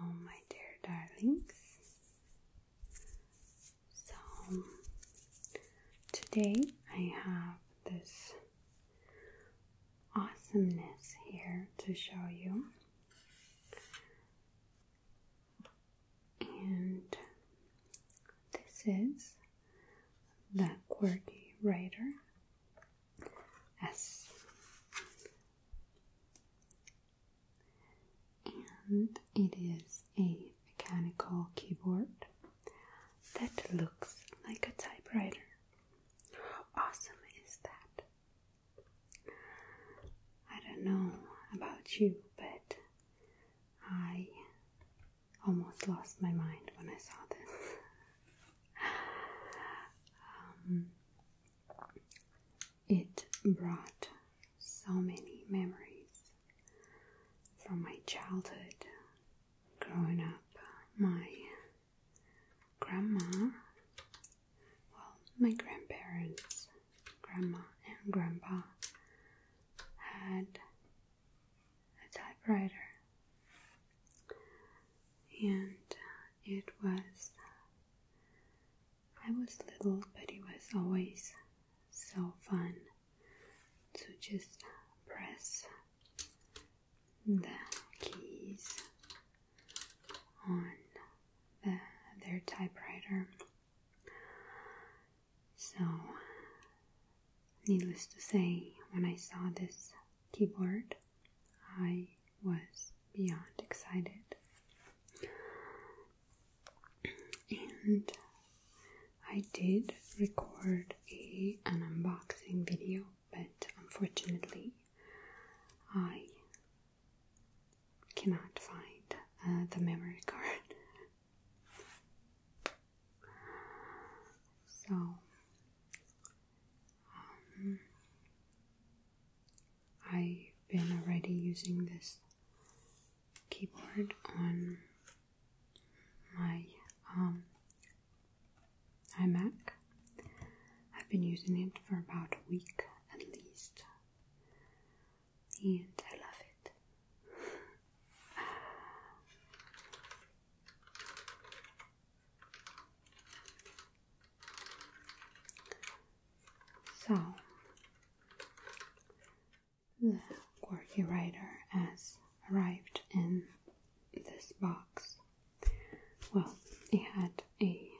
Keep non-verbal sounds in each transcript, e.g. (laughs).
Hello, my dear darlings. So, today I have this awesomeness here to show you. And this is the Quirky writer S. And it is a mechanical keyboard that looks like a typewriter. How awesome is that? I don't know about you, but I almost lost my mind when I saw this. Um, it brought so many memories from my childhood growing up. My grandma, well, my grandparents, grandma and grandpa, had a typewriter, and it was. I was little, but it was always so fun so just press the keys on their typewriter. So, needless to say, when I saw this keyboard, I was beyond excited. And I did record a, an unboxing video, but unfortunately, I cannot find uh, the memory card. (laughs) so, um, I've been already using this keyboard on my um, iMac. I've been using it for about a week at least, and I love it. So, the quirky writer has arrived in this box. Well, it had a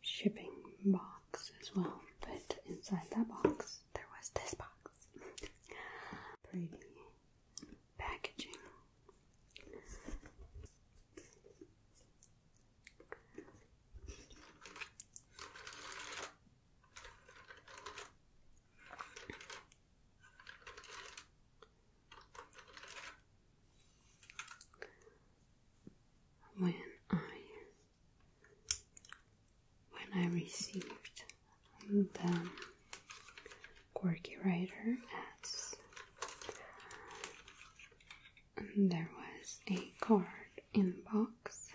shipping box as well, but inside that box there was this box. (laughs) Pretty packaging. When I when I received the quirky writer ads, there was a card in the box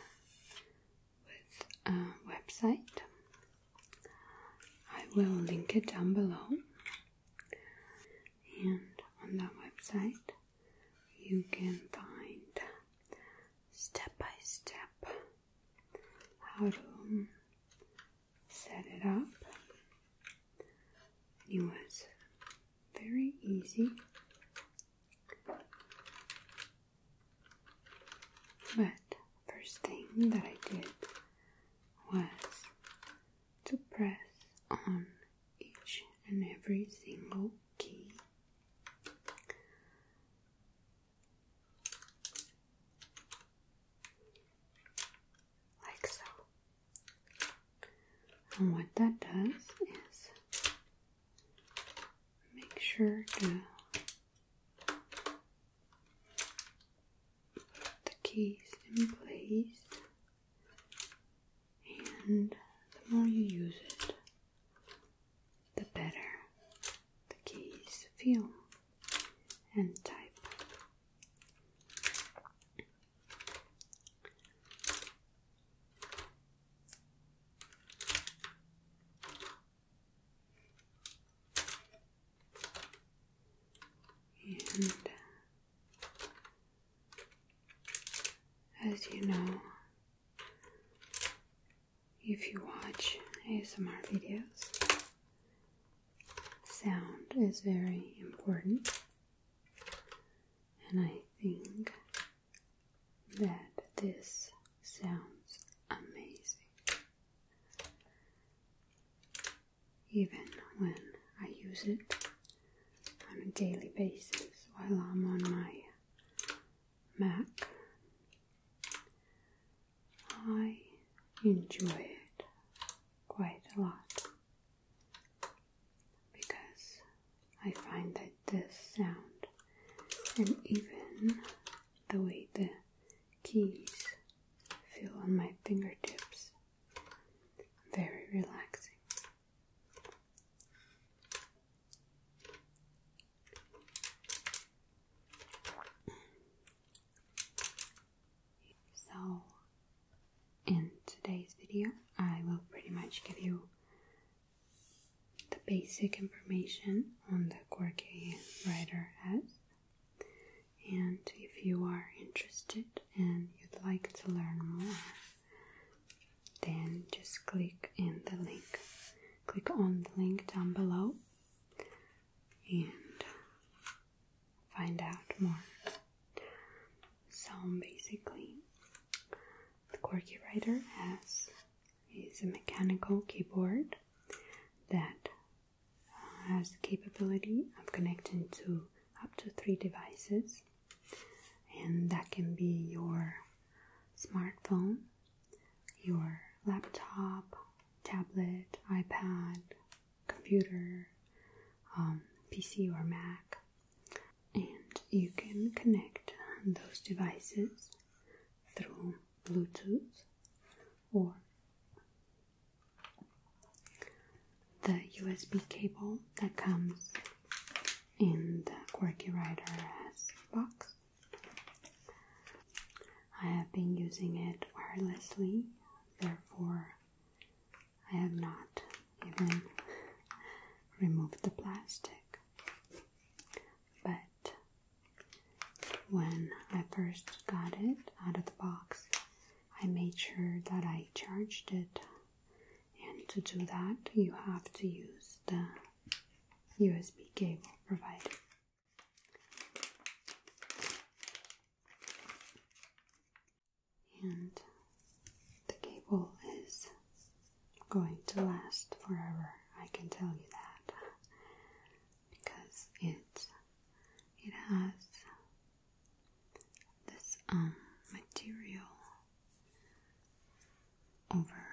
with a website. I will link it down below. And on that website, you can find step by step how to set it up. It was very easy but first thing that I did was to press on each and every single key. Like so. And what that does is make sure the, the keys in place and the more you use it the better the keys feel and type and as you know, if you watch ASMR videos, sound is very important, and I think that this sounds amazing. Even when I use it on a daily basis while I'm on my Mac, I enjoy it quite a lot because I find that this sound and even the way the keys feel on my fingertips very relaxing. So in today's video I will pretty much give you the basic information on the Quirky Writer S, And if you are interested and you'd like to learn more, then just click in the link. Click on the link down below and find out more. So basically, the Quirky Writer S is a mechanical keyboard that has the capability of connecting to up to three devices, and that can be your smartphone, your laptop, tablet, iPad, computer, um, PC, or Mac. And you can connect those devices through Bluetooth or the USB cable that comes in the Quirky Rider box. I have been using it wirelessly, therefore, I have not even (laughs) removed the plastic but when I first got it out of the box, I made sure that I charged it. And to do that, you have to use the USB cable provided. And the cable is going to last forever. I can tell you that because it's it has this um material over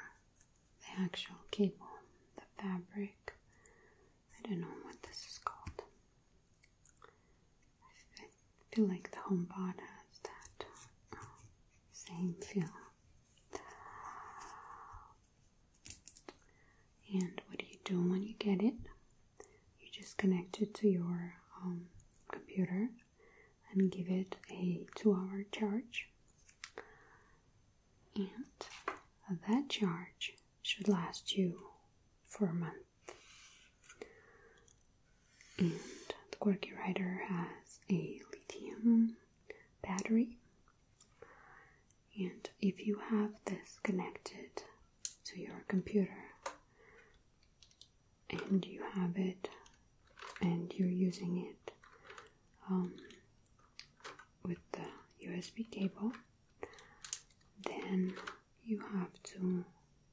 the actual cable, the fabric. I don't know what this is called. I feel like the HomePod has that uh, same feel. And what do you do when you get it? You just connect it to your um, computer and give it a two hour charge. And that charge should last you for a month. And the Quirky Rider has a lithium battery. And if you have this connected to your computer and you have it and you're using it um, with the USB cable, then you have to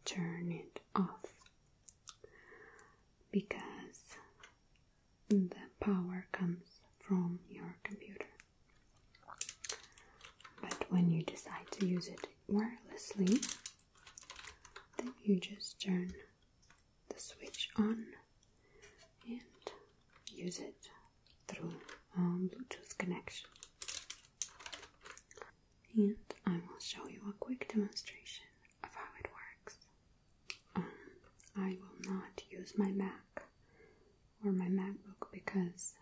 turn it off because the power comes from your computer. But when you decide to use it wirelessly, then you just turn the switch on and use it through um, Bluetooth connection. And I will show you a quick demonstration of how it works. Um, I will not use my Mac or my MacBook because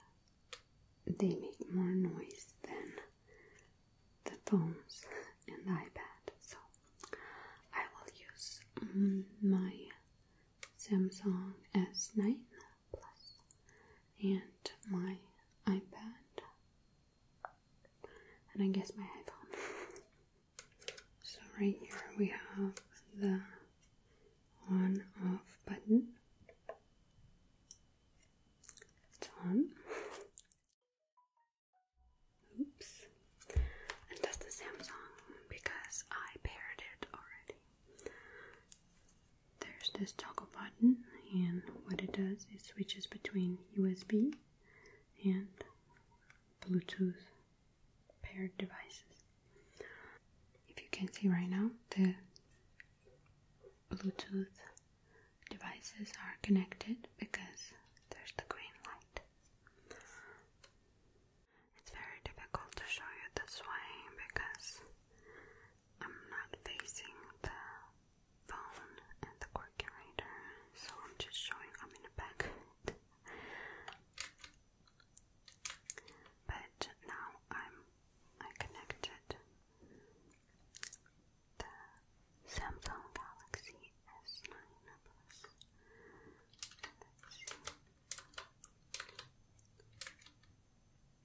they make more noise than the phones and the iPad. So I will use my Samsung S9 Plus and my iPad and I guess my iPhone. (laughs) so right here we have the on off button. It's on. Oops. And that's the Samsung because I paired it already. There's this toggle button and what it does is switches between USB and Bluetooth paired devices. If you can see right now, the Bluetooth devices are connected because there's the green light. It's very difficult to show you this way because I'm not facing the phone and the calculator, so I'm just showing I'm in the back. but now I'm I connected the Samsung Galaxy S9 Plus.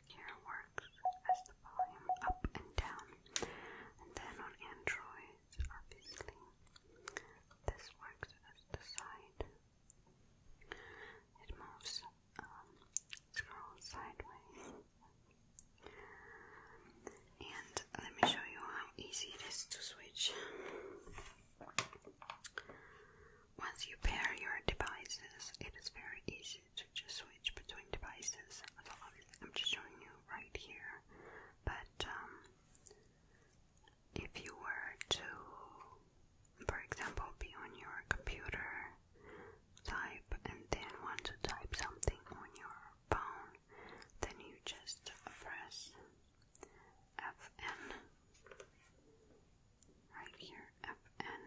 Here works as the volume up and down, and then on Android obviously. This works as the side. It moves, um, sideways. And let me show you how easy it is to switch. Once you pair your devices, it is very easy to just switch between devices. I'm just showing you right here, but um, if you were to, for example, be on your computer, type, and then want to type something on your phone, then you just press Fn right here, Fn,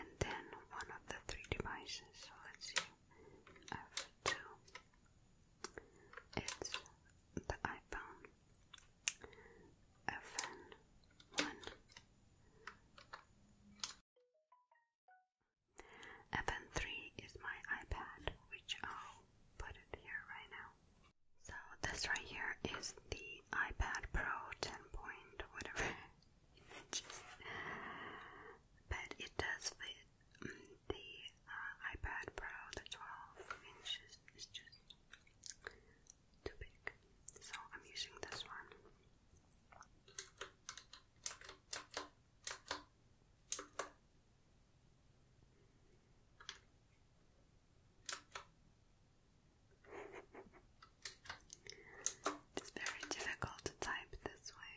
and then one of the three devices. So let's see. F2. It's the iPhone. FN1. FN3 is my iPad, which I'll put it here right now. So this right here is the iPad Pro 10 point whatever. (laughs) but it does fit the uh, iPad Pro, the 12 inches, is just too big. So I'm using this one. (laughs) It's very difficult to type this way.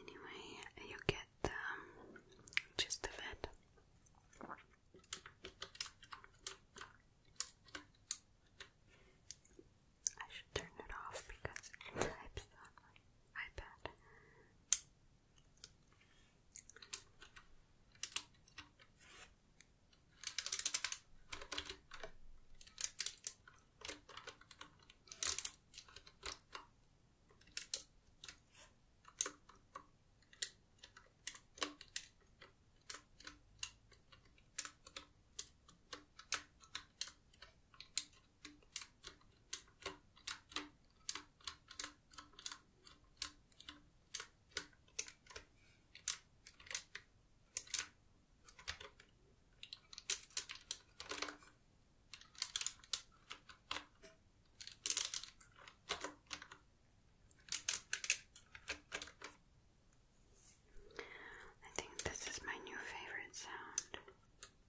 Anyway, you get the um, gist I should turn it off because it types on my iPad. I think this is my new favorite sound.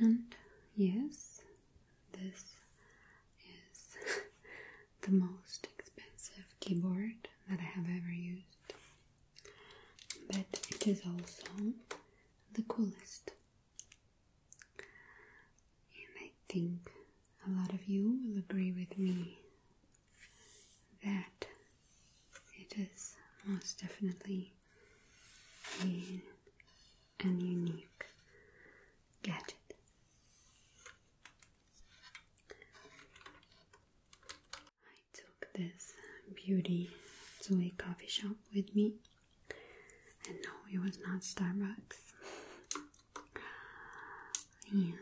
And yes, this is (laughs) the most expensive keyboard that I have ever used but it is also the coolest. And I think a lot of you will agree with me that it is most definitely an unique gadget. I took this beauty to a coffee shop with me, and no, it was not Starbucks. And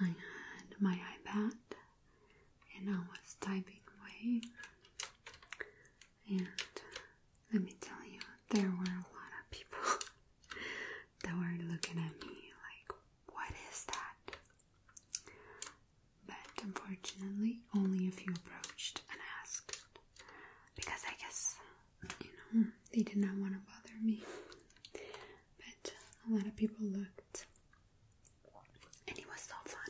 I had my iPad, and I was typing away. And let me tell you, there were a lot of people (laughs) that were looking at me like, What is that? But unfortunately, only a few approached and asked. Because I guess, you know, they did not want to bother me. But a lot of people looked. And it was so fun.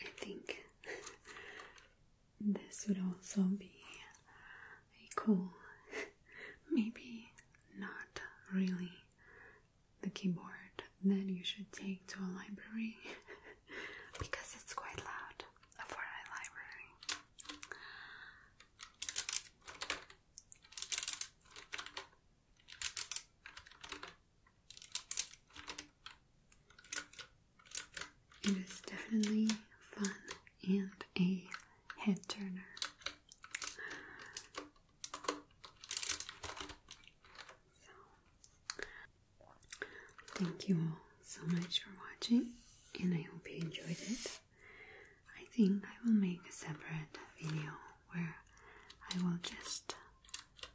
I think this would also be a cool, (laughs) maybe not really the keyboard that you should take to a library (laughs) because it's quite loud for a library. It is definitely fun and a head turner. thank you all so much for watching, and I hope you enjoyed it. I think I will make a separate video where I will just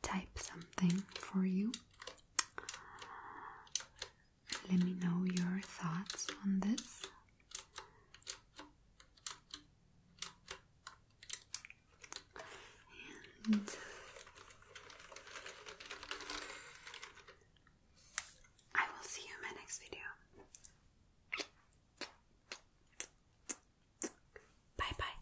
type something for you let me know your thoughts on this. And I will see you in my next video. Bye bye.